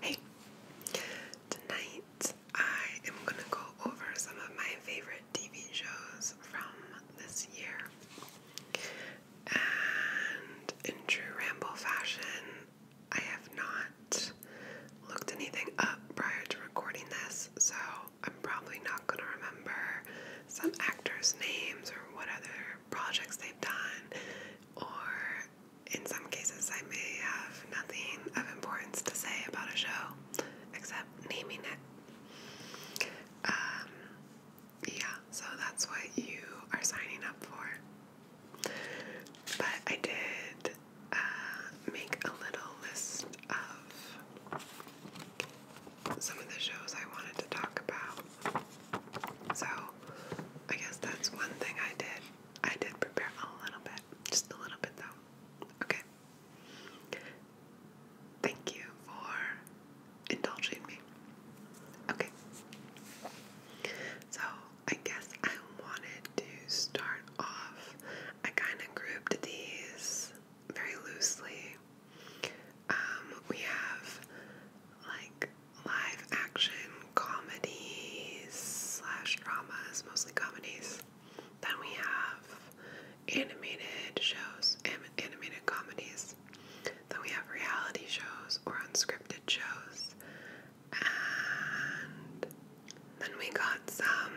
Hey, tonight I am going to go over some of my favorite TV shows from this year. And in true ramble fashion, I have not looked anything up prior to recording this, so I'm probably not going to remember some actors' names or what other projects they've done or in some cases, I may have nothing of importance to say about a show except naming it. Um, yeah, so that's what you are signing up for. But I did uh, make a little list of some of the shows I wanted to talk about. So I guess that's one thing I did. I did prepare a little bit, just a little bit though. Okay. Thank you for indulging me. Okay. So, I guess I wanted to start off. I kind of grouped these very loosely. Um, we have like live action comedies slash dramas, mostly comedies. Then we have animated shows, and animated comedies. Then we have reality shows or unscripted shows. And then we got some,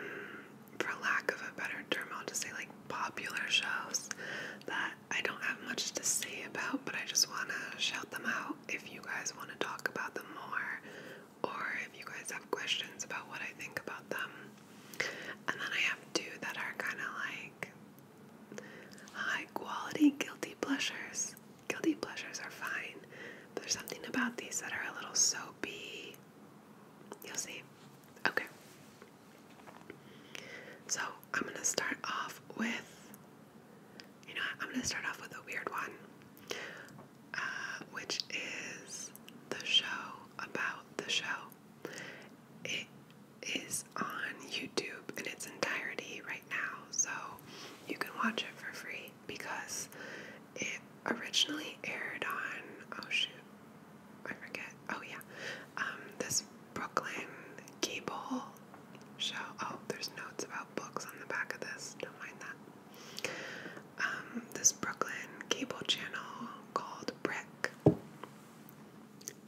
for lack of a better term, I'll just say like popular shows that I don't have much to say about, but I just want to shout them out if you guys want to talk about them more or if you guys have questions about what I think about them. And then I have two that are kind of like high quality guilty pleasures. Guilty pleasures are fine, but there's something about these that are a little soapy. You'll see. Okay. So I'm going to start off with you know I'm going to start off with a weird one, uh, which is the show about the show. It is on YouTube in its entirety right now, so you can watch it for free because it originally aired on, oh shoot, I forget, oh yeah, um, this Brooklyn cable show. Oh, there's notes about books on the back of this. Don't mind that. Um, this Brooklyn cable channel called Brick.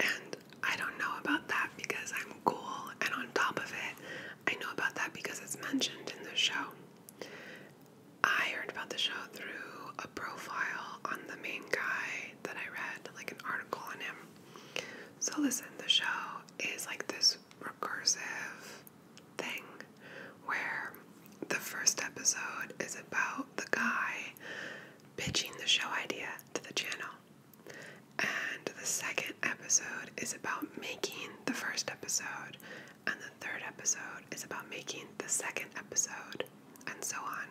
And I don't know about that because I'm cool, and on top of it, I know about that because it's mentioned in the show. I heard about the show through a profile on the main guy that I read, like an article on him. So, listen, the show is like this recursive thing where the first episode is about the guy pitching the show idea to the channel. And the second episode is about making the first episode, and the third episode is about making the second episode, and so on.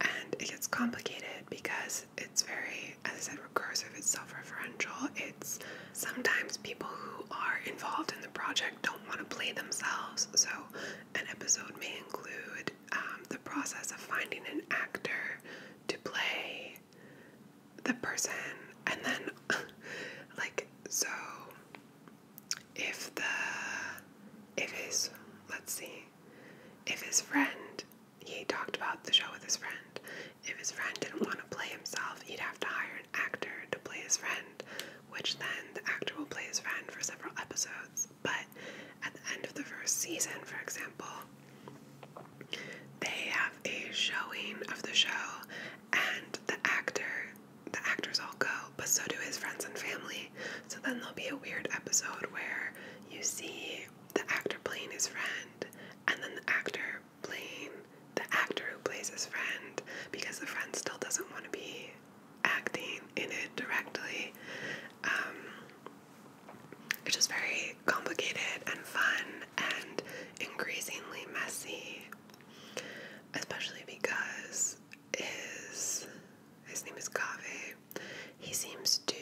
And it gets complicated because it's very as I said, recursive, it's self referential. It's sometimes people who are involved in the project don't want to play themselves. So, an episode may include um, the process of finding an actor to play the person, and then, like, so if the, if his, let's see, if his friend he talked about the show with his friend. If his friend didn't want to play himself, he'd have to hire an actor to play his friend, which then the actor will play his friend for several episodes. But at the end of the first season, for example, they have a showing of the show and the actor the actors all go, but so do his friends and family. So then there'll be a weird episode where you see the actor playing his friend and then the actor playing the actor who plays his friend because the friend still doesn't want to be acting in it directly. Um, it's just very complicated and fun and increasingly messy, especially because his his name is Kaveh. He seems to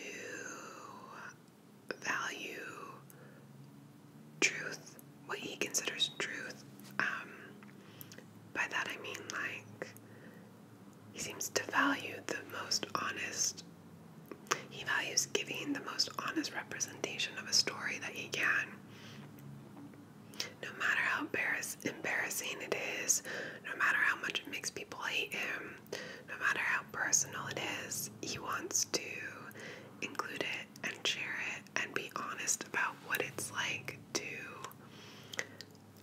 value truth, what he considers truth. Um, by that I mean, like, he seems to value the most honest, he values giving the most honest representation of a story that he can. No matter how embarrass embarrassing it is, no matter how much it makes people hate him, no matter how personal it is. He wants to include it and share it and be honest about what it's like to.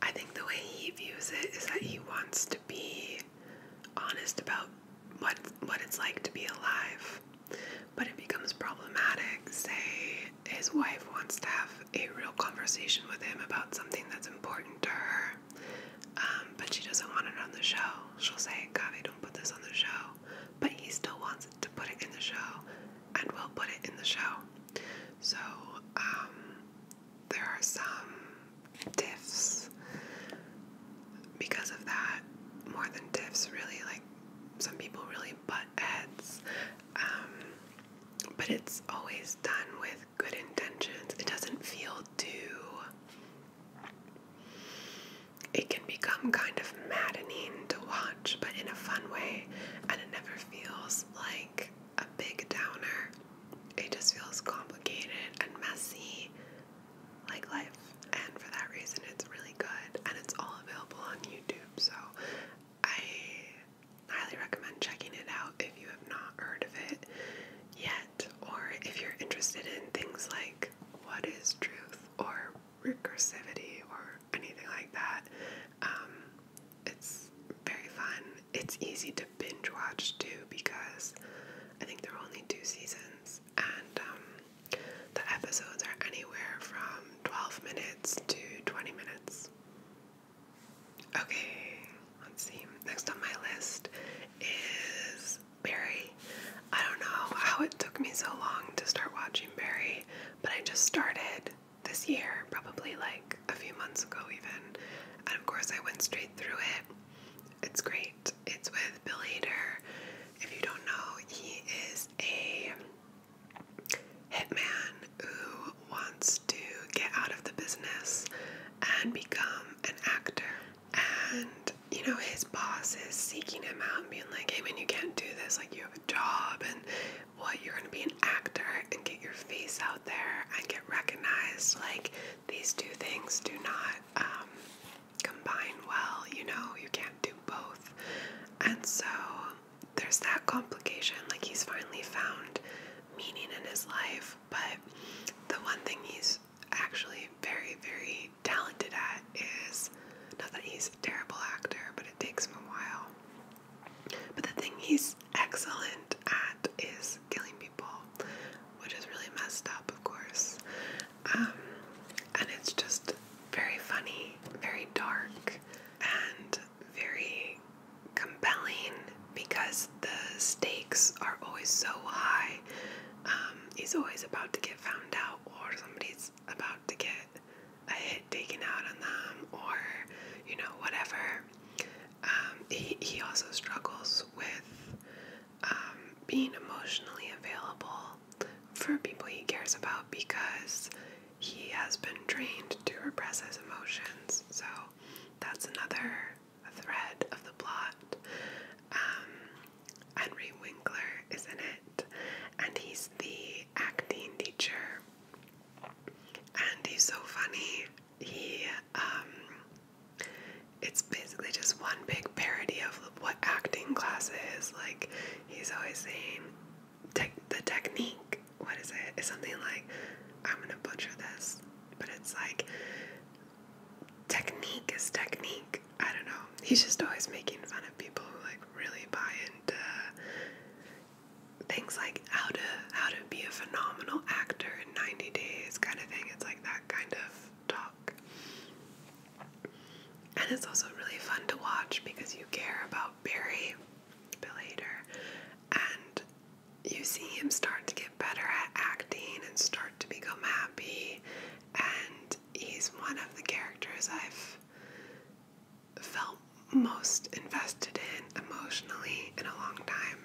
I think the way he views it is that he wants to be honest about what what it's like to be alive. But it becomes problematic. Say his wife wants to have a real conversation with him about something that's important to her, um, but she doesn't want it on the show. She'll say, Gavi, put this on the show, but he still wants to put it in the show and we will put it in the show. So, um, there are some diffs because of that, more than diffs, really. Like, some people really butt heads. Um, but it's always done with good intentions. It doesn't feel too it can become kind of maddening to watch, but in a fun way, and it never feels like a big downer. It just feels complicated and messy, like life. And for that reason, it's really good, and it's all available on YouTube. So I highly recommend checking it out if you have not heard of it yet, or if you're interested in things like what is truth or recursivity or anything like that. Um, it's very fun. It's easy to binge watch too because I think there are only two seasons and um, the episodes are anywhere from 12 minutes to 20 minutes. Okay, let's see. Next on my list is Barry. I don't know how it took me so long to start watching Barry, but I just started this year, probably like a few months ago, even. And of course, I went straight through it. It's great. It's with Bill Hader. If you don't know, he is a hitman who wants to get out of the business and become an actor. And, you know, his boss is seeking him out and being like, hey, man, you can't do this. Like, you have a job, and what? You're going to be an actor and get your face out there and get recognized. Like, these two things do not um, combine well. You know, you can't do both. And so there's that complication. Like, he's finally found meaning in his life, but the one thing he's actually very, very talented at is not that he's a terrible actor, but it takes him a while. But the thing he's excellent at is killing people, which is really messed up, of course. Um, and it's just very funny, very dark, and very compelling because the stakes are always so high um, he's always about to get found out, or somebody's about to get a hit taken out on them, or you know, whatever. Um, he, he also struggles with um, being emotionally available for people he cares about because he has been trained to repress his emotions. So that's another thread of the plot. Henry Winkler is in it, and he's the acting teacher. And he's so funny. He, um, it's basically just one big parody of what acting class is. Like, he's always saying, Te the technique, what is it? It's something like, I'm gonna butcher this, but it's like, technique is technique. I don't know. He's just always making fun of people who like really buy into things like how to how to be a phenomenal actor in 90 days kind of thing. It's like that kind of talk. And it's also really fun to watch because you care about Barry, Bill Hader, and you see him start to get better at acting and start to become happy and he's one of the characters I've felt most invested in emotionally in a long time.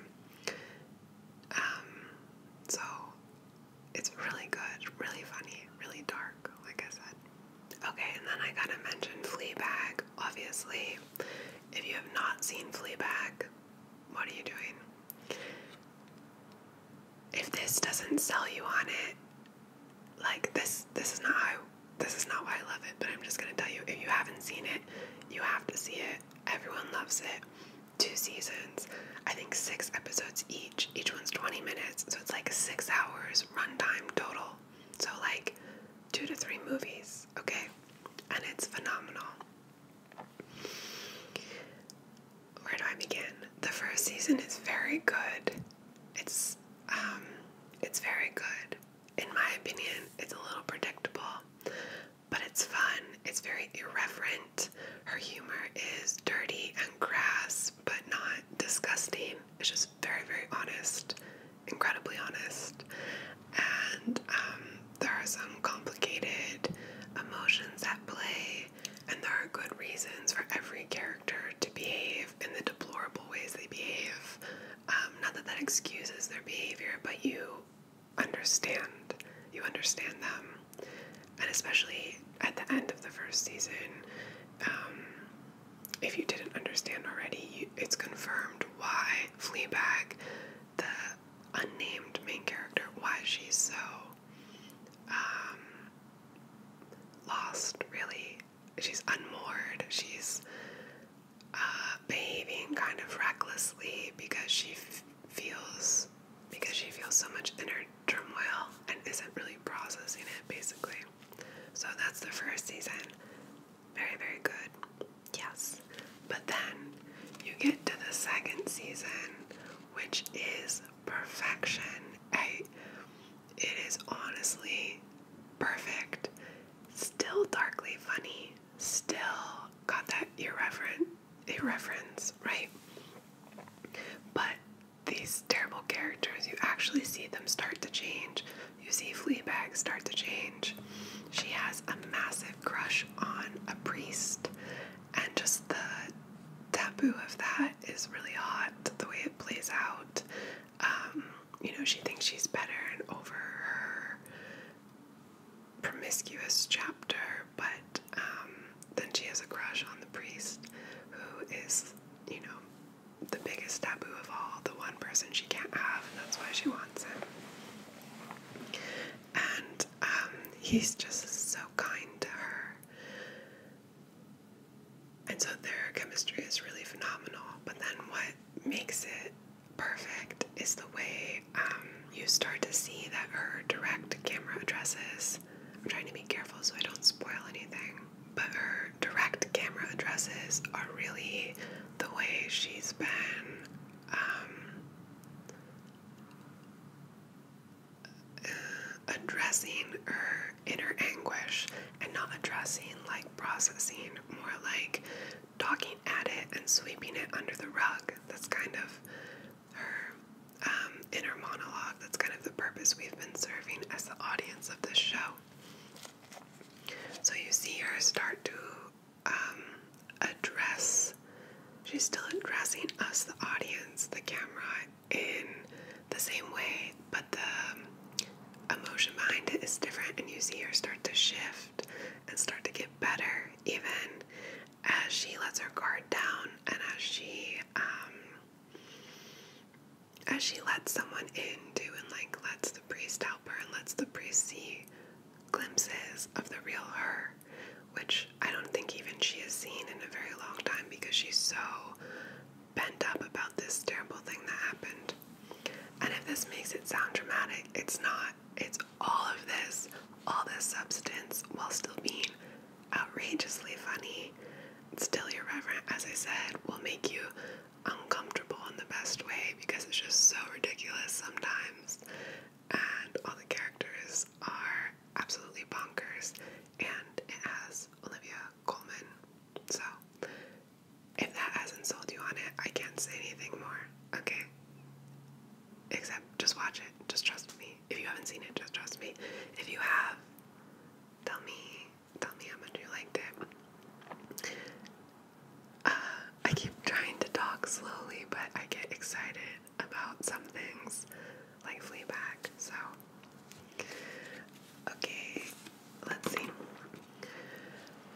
Um, so it's really good, really funny, really dark, like I said. Okay, and then I gotta mention Fleabag, obviously. If you have not seen Fleabag, what are you doing? if this doesn't sell you on it, like this this is not how this is not why I love it, but I'm just gonna tell you if you haven't seen it, you have to see it. Everyone loves it. Two seasons, I think six episodes each. Each one's 20 minutes, so it's like six hours runtime total. So like two to three movies, okay? And it's phenomenal where do I begin? The first season is very good. It's um it's very good. In my opinion, it's a little predictable, but it's fun. It's very irreverent. Her humor is dirty and crass, but not disgusting. It's just very, very honest, incredibly honest. And um, there are some complicated emotions at play and there are good reasons for every character to behave in the deplorable ways they behave. Um, not that that excuses their behavior, but you understand. You understand them. And especially at the end of the first season, um, if you didn't understand already, you, it's confirmed why Fleabag, the unnamed main character, why she's so um, lost, really. She's unmoored. She's uh, behaving kind of recklessly because she feels because she feels so much inner turmoil and isn't really processing it, basically. So that's the first season. Very, very good. Yes. But then you get to the second season, which is perfection. I it is honestly perfect. Still darkly funny. Still got that irreverent irreverence, right? But these terrible characters, you actually see them start to change. You see Fleabag start to change. She has a massive crush on a priest, and just the taboo of that is really hot, the way it plays out. Um, you know, she thinks she's better and over her promiscuous chapter, but um, then she has a crush on the priest, who is, you know, the biggest taboo of all, the one person she can't have, and that's why she wants him. And um, he's just so kind to her. And so their chemistry is really phenomenal. But then what makes it perfect is the way um, you start to see that her direct camera addresses. I'm trying to be careful so I don't spoil anything. But her direct camera addresses are really the way she's been um, addressing her inner anguish and not addressing like processing, more like talking at it and sweeping it under the rug. That's kind of her um, inner monologue. That's kind of the purpose we've been serving as the audience of this show. So you see her start to um, address, she's still addressing us, the audience, the camera, in the same way, but the um, emotion behind it is different, and you see her start to shift and start to get better, even as she lets her guard down and as she um, as she lets someone into and like lets the priest help her and lets the priest see glimpses of the real her, which I don't think even she has seen in a very long time because she's so bent up about this terrible thing that happened. And if this makes it sound dramatic, it's not. It's all of this, all this substance, while still being outrageously funny, still irreverent, as I said, will make you uncomfortable in the best way because it's just so ridiculous sometimes. And all the characters are absolutely bonkers, and it has Olivia Colman. So, if that hasn't sold you on it, I can't say anything more, okay? Except just watch it. Just trust me. If you haven't seen it, just trust me. If you have, tell me, tell me how much you liked it. Uh, I keep trying to talk slowly, but I get excited about some things like Fleabag. So, okay, let's see.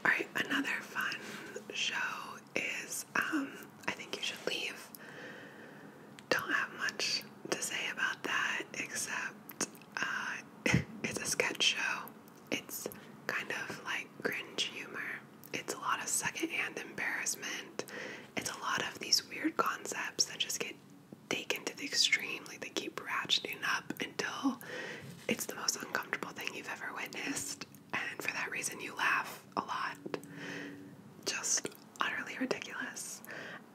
All right, another fun show is um, I think you should leave. Don't have much to say about that except uh, it's a sketch show. It's kind of like cringe humor. It's a lot of secondhand embarrassment. It's a lot of these weird concepts that just get taken to the extreme. Like they keep ratcheting up until it's the most uncomfortable thing you've ever witnessed. And for that reason, you laugh a lot. Just utterly ridiculous.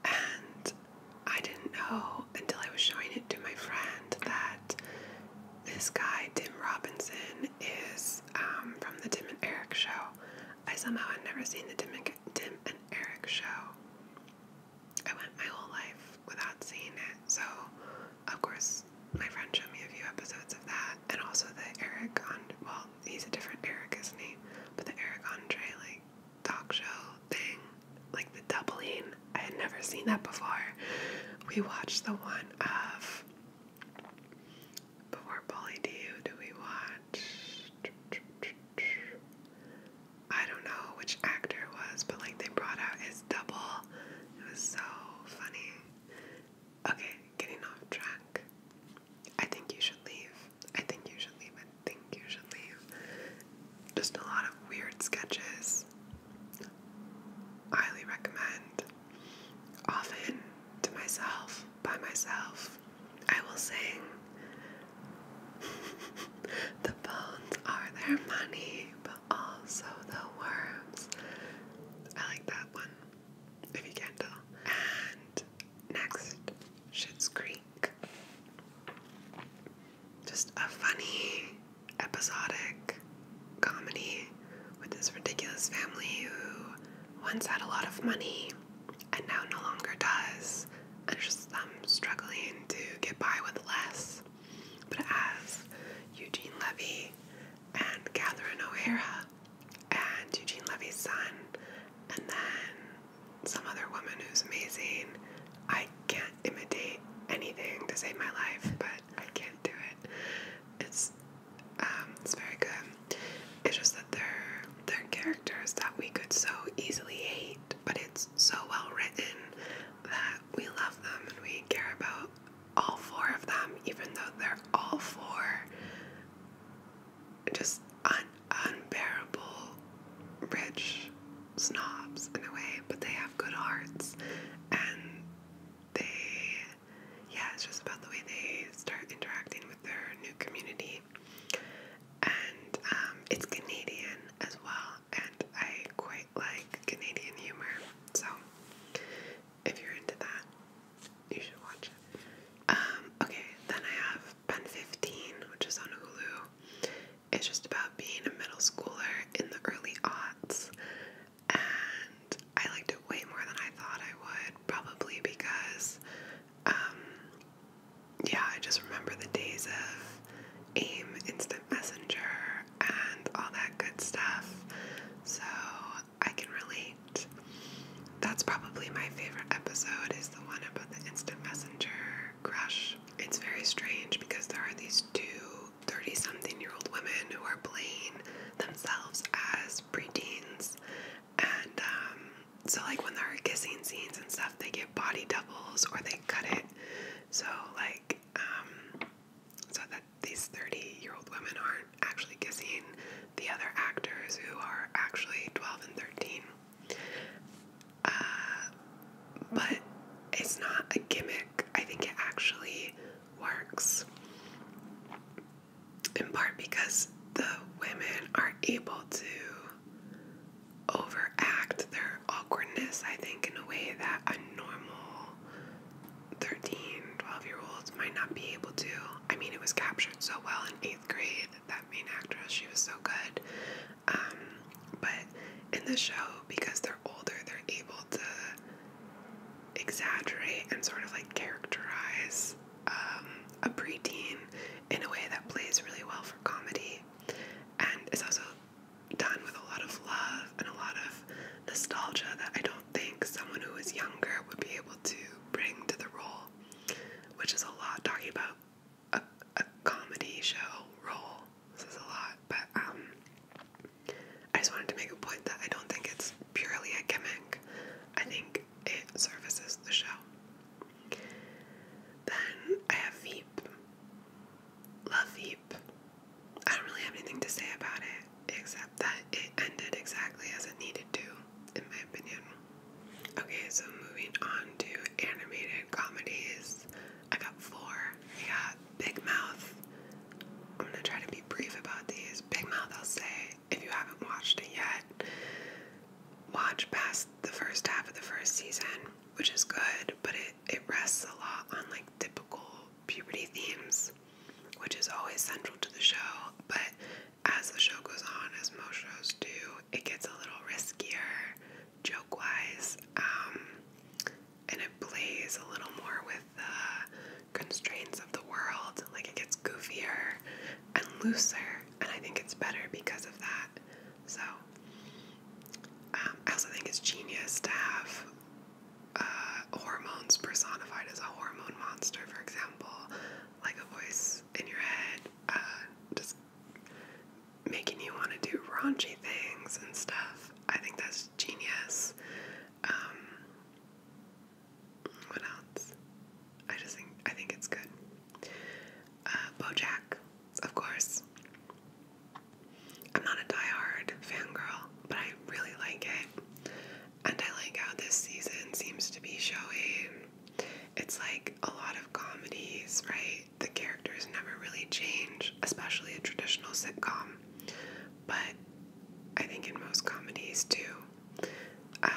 And I didn't know until I was showing it to my friend that this guy, Tim Robinson, is um, from the Tim and Eric show. I somehow had never seen the Tim and Tim and Eric show. I went my whole life without seeing it, so of course my friend showed me a few episodes of that, and also the Eric on well, he's a different Eric, isn't he? But the Eric Andre like talk show thing, like the doubling, I had never seen that before. We watched the one of before Polly D. do we watch? I don't know which actor was, but like they brought out his double. It was so funny. Okay, getting off track. I think you should leave. I think you should leave. I think you should leave. Just a lot of weird sketches. Highly recommend. Often to myself, by myself, I will sing. the bones are their money, but also the worms. I like that one, if you can tell. And next, Schitt's Creek. Just a funny, episodic comedy with this ridiculous family who once had a lot of money and now no longer does. And just I'm struggling to get by with less. But as Eugene Levy and Catherine O'Hara and Eugene Levy's son, and then some other woman who's amazing, I can't imitate anything to save my life, but I can't do it. It's um, it's very good. It's just that they're they're characters that we could so easily hate, but it's so well written that we love them and we care about all four of them, even though they're all four just un unbearable rich snobs in a way, but they have good hearts and they yeah, it's just about the way they start interacting with their new community and um, it's Canadian as well, and I quite like Canadian humor. So if you're into that, you should watch it. Um, okay, then I have Pen 15, which is on Hulu. It's just about being a middle schooler in the early aughts, and I liked it way more than I thought I would, probably because um, yeah, I just remember the days of AIM Instant Messenger and all that good stuff. So I can relate. That's probably my favorite episode is the one about the instant messenger crush. It's very strange because there are these two 30 something year old women who are playing themselves as preteens and um, so, like, when there are kissing scenes and stuff, they get body doubles or they cut it. So, like, um, so that these 30 year old women aren't actually kissing the other actors who are actually 12 and 13. Uh, but it's not a gimmick. I think it actually works. In part because the women are able to overact their awkwardness, I think, in a way that a normal 13, 12 year olds might not be able to. I mean, it was captured so well in eighth grade, that main actress, she was so good. Um, but in the show, because they're older, they're able to exaggerate and sort of like characterize um, a preteen in a way that plays really well for comedy and it's also done with a lot of love and a lot of nostalgia that I don't think someone who is younger would be able to bring to the role, which is a lot talking about a, a comedy show role. This is a lot, but um, I just wanted to make a point that I don't think it's purely a gimmick. I think it services the show. Then I have Veep. Love Veep. I don't really have anything to say about it except that it ended exactly as it needed to, in my opinion. Okay, so moving on to animated comedies. I got four. I got Big Mouth. I'm gonna try to be brief about these. Big Mouth, I'll say, if you haven't watched it yet, watch past the first half of the first season, which is good, but it, it rests a lot on like typical puberty themes, which is always central to the show. But as the show goes on, as most shows do, it gets a little riskier joke wise, um, and it plays a little more with the constraints of the world. Like it gets goofier and looser, and I think it's better because of that. So, um, I also think it's genius to have uh, hormones personified as a hormone monster, for example, like a voice in your head, uh, just making you want to do raunchy things and stuff. I think that's genius. Um, what else? I just think I think it's good. Uh, BoJack, of course. I'm not a diehard fan girl, but I really like it, and I like how this season seems to be showing. It's like a lot of comedies, right? The characters never really change, especially a traditional sitcom. But I think in most comedies too, uh,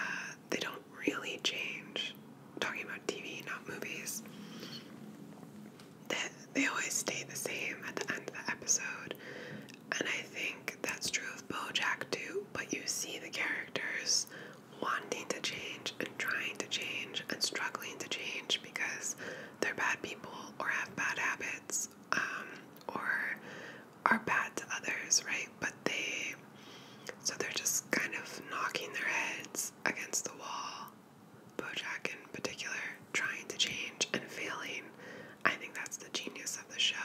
they don't really change. talking about TV, not movies. They, they always stay the same at the end of the episode. And I think that's true of Bojack too, but you see the characters wanting to change and trying to change and struggling to change because they're bad people or have bad habits um, or are bad to others, right? But they, so they're just kind of knocking their heads against the wall. Bojack, in particular, trying to change and failing. I think that's the genius of the show.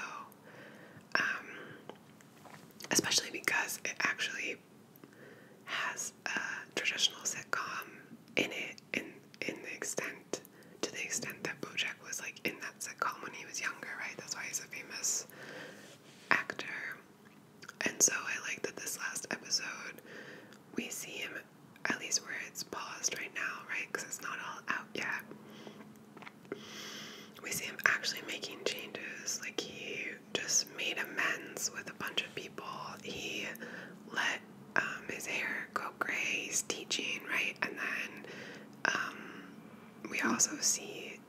Um, especially because it actually has a traditional sitcom in it, in in the extent to the extent that Bojack was like in that sitcom when he was younger, right? That's why he's a famous actor. And so I like that this last episode, we see him at least where it's paused right now, right? Because it's not all out yet. We see him actually making changes. Like he just made amends with a bunch of people. He let um, his hair go gray. He's teaching, right? And then um, we also see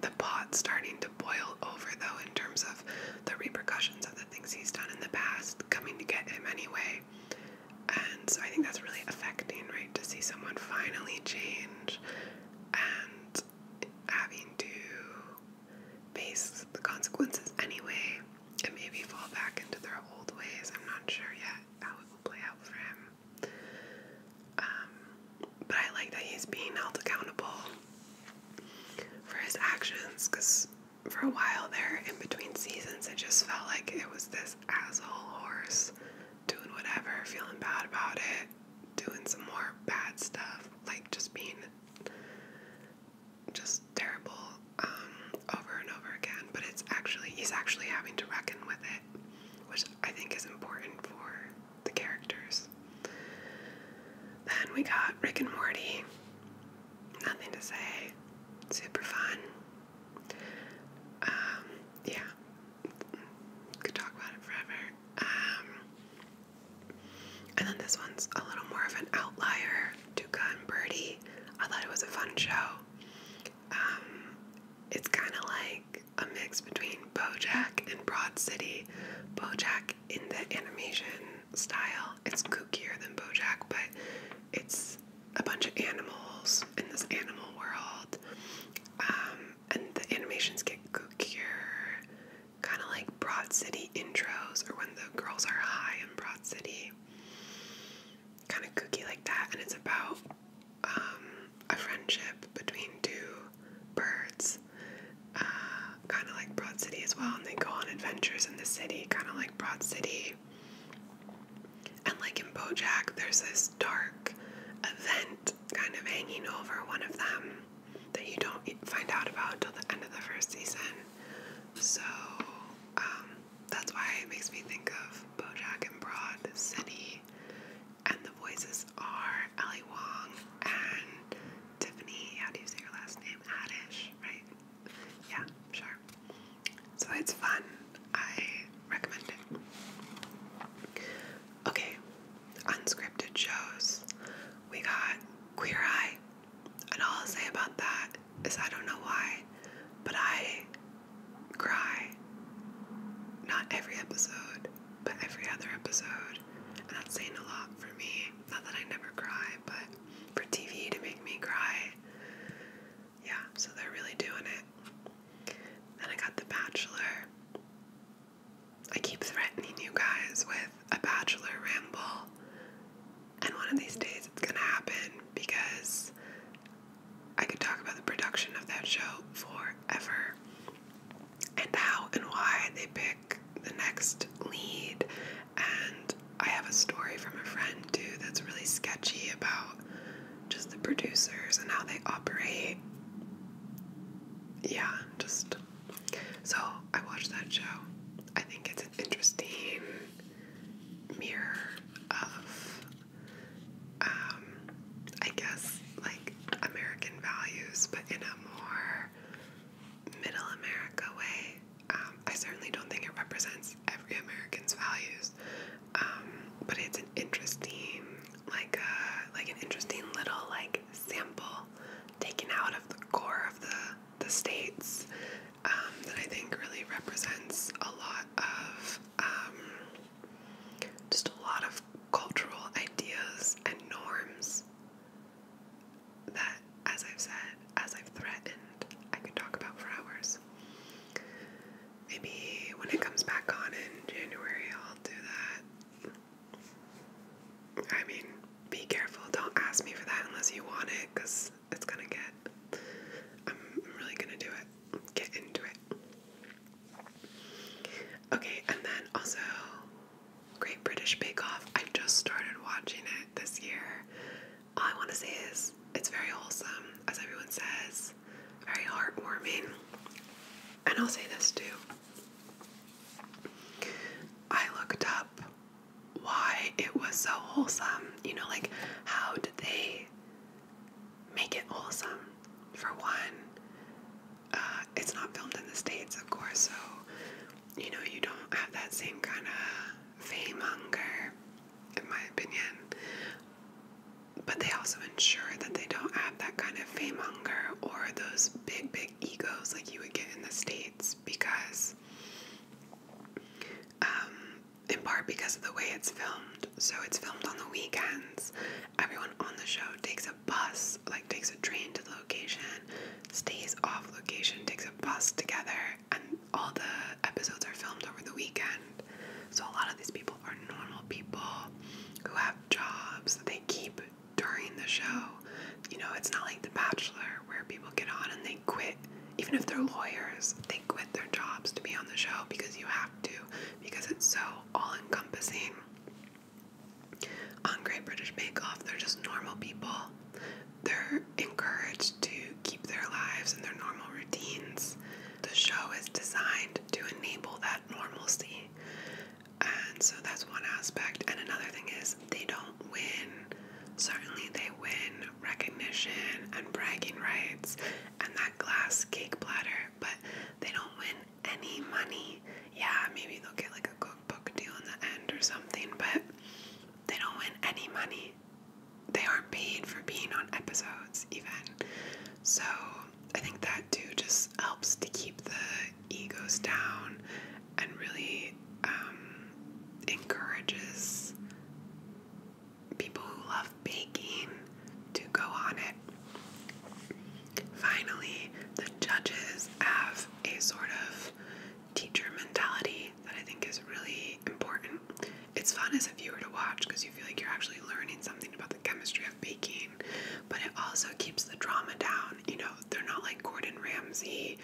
the pot starting to boil over, though, in terms of the repercussions of the things he's done in the past coming to get him anyway. And so I think that's really affecting, right? To see someone finally change and having to face the consequences anyway and maybe fall back into their old ways. I'm not sure yet how it will play out for him. Um, but I like that he's being held accountable for his actions because for a while there, in between seasons, it just felt like it was this asshole horse doing whatever, feeling bad about it, doing some more bad stuff, like just being just terrible um, over and over again. But it's actually, he's actually having to reckon with it, which I think is important for the characters. Then we got Rick and Morty. Nothing to say. Super fun. Um, yeah. Could talk about it forever. Um, and then this one's a little more of an outlier. Duca and Birdie. I thought it was a fun show. Um, it's kind of like a mix between BoJack and Broad City. BoJack in the animation style. It's kookier than BoJack, but it's a bunch of animals in this animal world, um, and the animations get kookier, kind of like Broad City intros or when the girls are high in Broad City, kind of kooky like that. And it's about um, a friendship between two birds uh, kind of like Broad City as well, and they go on adventures in the city, kind of like Broad City. And like in Bojack, there's this dark event kind of hanging over one of them that you don't find out about till the end of the first season. So um, that's why it makes me think of Bojack and Broad City and the voices are Ali Wong and Tiffany, how do you say your last name? Haddish, right? Yeah, sure. So it's fun. I recommend it. Okay, unscripted shows. We got Queer Eye, and all I'll say about that is I don't know why, but I cry. Not every episode, but every other episode. And that's saying a lot for me. Not that I never cry, but for TV to make me cry. Yeah, so they're really doing it. Then I got The Bachelor. I keep threatening you guys with a Bachelor ramble, and one of these days it's gonna happen because I could talk about the production of that show forever and how and why they pick the next lead. And I have a story from a friend too that's really sketchy about just the producers and how they operate. Yeah, just so I watched that show. I think it's an interesting mirror of, um, I guess, like American values, but in a more middle America way. Um, I certainly don't think it represents every American's values, um, but it's an interesting, like, uh, like an interesting little like sample taken out of the core of the the states um, that I think really represents a lot of just a lot of cultural ideas and norms that, as I've said, as I've threatened, I could talk about for hours. Maybe when it comes back on in January, I'll do that. I mean, be careful. Don't ask me for that unless you want it, because it's gonna get. I'm really gonna do it. Get into it. Okay, and then also, Great British Bake Off. I just started watching it this year. All I want to say is it's very wholesome, as everyone says, very heartwarming. And I'll say this too. I looked up why it was so wholesome. You know, like how did they make it wholesome? For one, uh, it's not filmed in the States, of course, so you know, you don't have that same kind of fame hunger, in my opinion. But they also ensure that they don't have that kind of fame hunger or those big, big egos like you would get in the States because, um, in part because of the way it's filmed. So it's filmed on the weekends. Everyone on the show takes a bus like takes a train to the location, stays off location, takes a bus together, and all the episodes are filmed over the weekend. So a lot of these people are normal people who have jobs that they keep during the show. You know, it's not like The Bachelor where people get on and they quit. Even if they're lawyers, they quit their jobs to be on the show because you have to, because it's so all encompassing. On Great British Bake Off, they're just normal people. They're encouraged to keep their lives and their normal routines. The show is designed to enable that normalcy. And so that's one aspect. And another thing is, they don't win. Certainly, they win recognition and bragging rights and that glass cake platter, but they don't win any money. Yeah, maybe they'll get like a Coca book deal in the end or something, but they don't win any money. They aren't paid for being on episodes, even. So I think that too just helps to keep the egos down and really um, encourages people who love baking to go on it. Finally, the judges have a sort of teacher mentality that I think is really important. It's fun as a viewer to watch because you feel like you're actually learning something about the chemistry of baking, but it also keeps the drama down. You know, they're not like Gordon Ramsay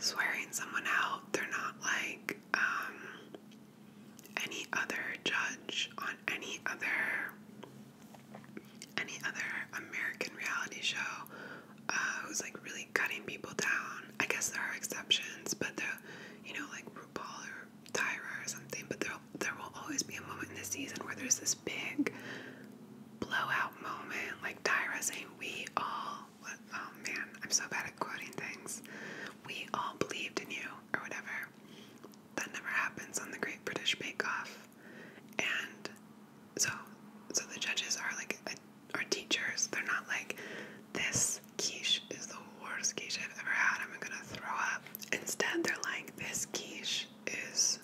swearing someone out, they're not like um, any other judge on any other any other American reality show uh, who's like really cutting people down. I guess there are exceptions, but the you know like RuPaul or Tyra or something. But there there will always be a moment in the season where there's this big blowout moment, like Tyra saying, "We all." oh man, I'm so bad at quoting things. We all believed in you, or whatever. That never happens on the Great British Bake Off. And so so the judges are like a, teachers. They're not like this quiche is the worst quiche I've ever had. I'm gonna throw up. Instead, they're like this quiche is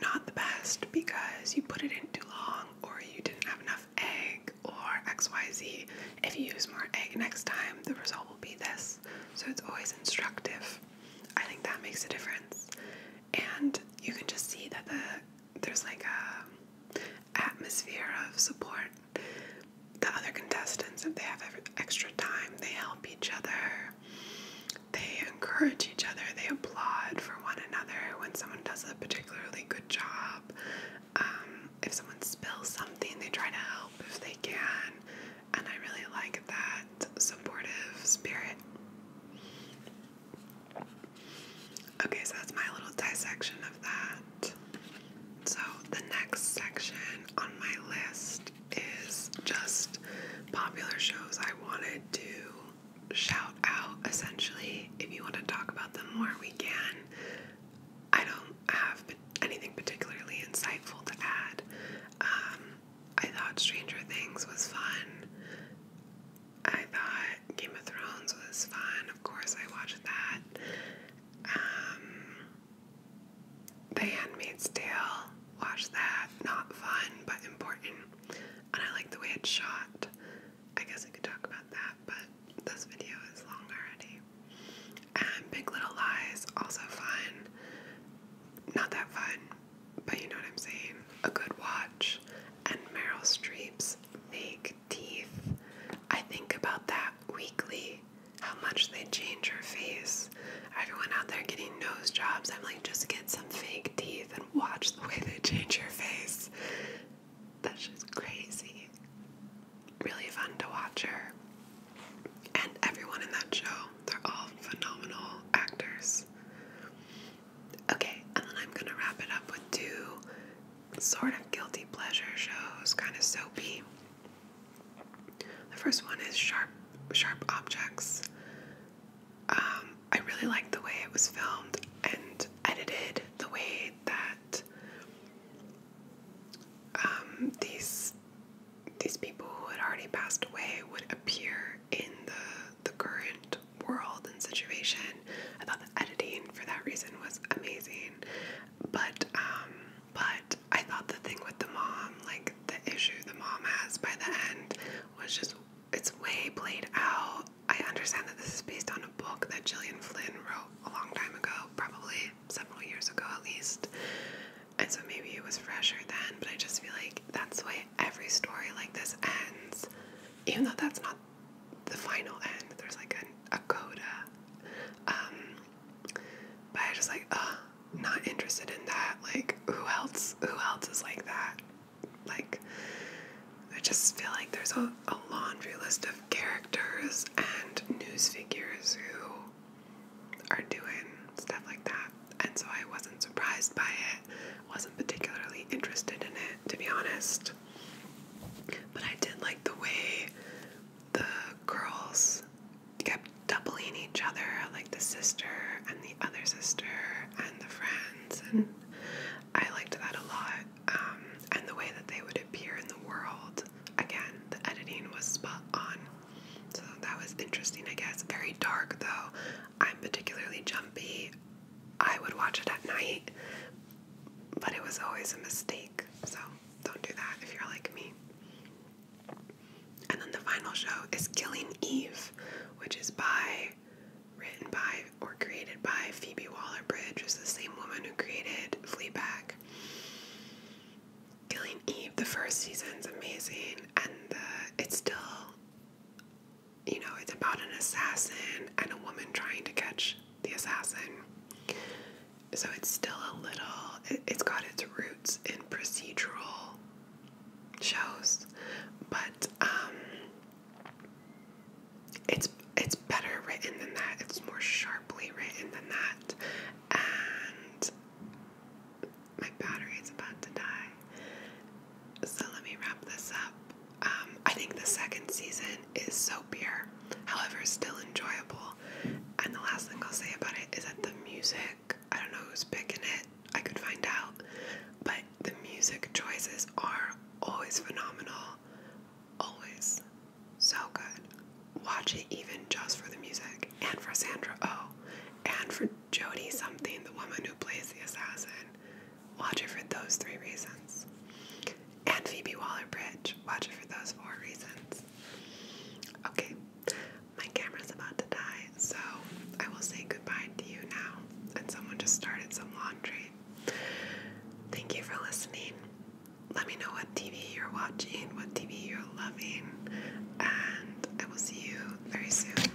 not the best because you put it in too long or you didn't have enough egg or XYZ. If you use more egg next time, the result will be this. So it's always instructive. I think that makes a difference and you can just see that the there's like a atmosphere of support. The other contestants, if they have extra time, they help each other. They encourage each other. They applaud for one another when someone does a particularly good job. Um, if someone spills something, they try to help if they can. And I really like that supportive spirit. Okay, so that's my little dissection of that. So, the next section on my list is just popular shows I wanted to shout out. Essentially, if you want to talk about them more, we can. I don't have anything particularly insightful to add. Um, I thought Stranger Things was fun. I thought Game of Thrones was fun. Of course, I watched that. Um, the Handmaid's Tale, watched that. Not fun, but important. And I like the way it's shot. I guess I could talk about that, but this video is long already. And Big Little Lies, also fun. Not that fun, but you know what I'm saying? A good watch and Meryl Streep's fake teeth. I think about that weekly, how much they change her face. Everyone out there getting nose jobs, I'm like, just get some fake teeth and watch the way they change your face. That's just crazy. Really fun to watch her. And everyone in that show, they're all phenomenal actors. Okay, and then I'm gonna wrap it up with two sort of guilty pleasure shows, kind of soapy. The first one is Sharp Sharp Objects. Um, I really liked the way it was filmed and edited, the way that um, these these people who had already passed away would appear in the the current world and situation. I thought the editing for that reason was amazing. But um but I thought the thing with the mom, like the issue the mom has by the end was just it's way played out. I understand that this is based on a book that Jillian Flynn wrote a long time ago, probably several years ago at least. And so maybe it was fresher then, but I just feel like that's the way every story like this ends even though that's not the final end, there's like an, a coda. Um, but I just like, uh, not interested in that. Like, who else? Who else is like that? Like, I just feel like there's a laundry list of characters and news figures who are doing stuff like that. And so I wasn't surprised by it, wasn't particularly interested in it to be honest. But I did like the way the girls kept doubling each other, like the sister and the other sister and the friends, and I liked that a lot. Um, and the way that they would appear in the world. Again, the editing was spot on. So that was interesting, I guess. Very dark, though. I'm particularly jumpy I would watch it at night, but it was always a mistake. So don't do that if you're like me. And then the final show is Killing Eve, which is by, written by, or created by Phoebe Waller Bridge, who's the same woman who created Fleabag. Killing Eve, the first season's amazing, and the, it's still you know, it's about an assassin and a woman trying to catch the assassin. So it's still a little, it, has got its roots in procedural shows, but um, it's it's better written than that. It's more sharply written than that, and my battery is about to die. So let me wrap this up. Um, I think the second season is so pure, however, still enjoyable. And the last thing I'll say about it is that the music I don't know who's picking it, I could find out, but the music choices are always phenomenal, always so good. Watch it even just for the music and for Sandra Oh and for Jodie something, the woman who plays the assassin. Watch it for those three reasons. And Phoebe Waller Bridge. Watch it for those four reasons. Okay, my camera's about to die, so I will say goodbye to you now. And someone just started some laundry. Thank you for listening. Let me know what TV you're watching, what TV you're loving, and I will see you very soon.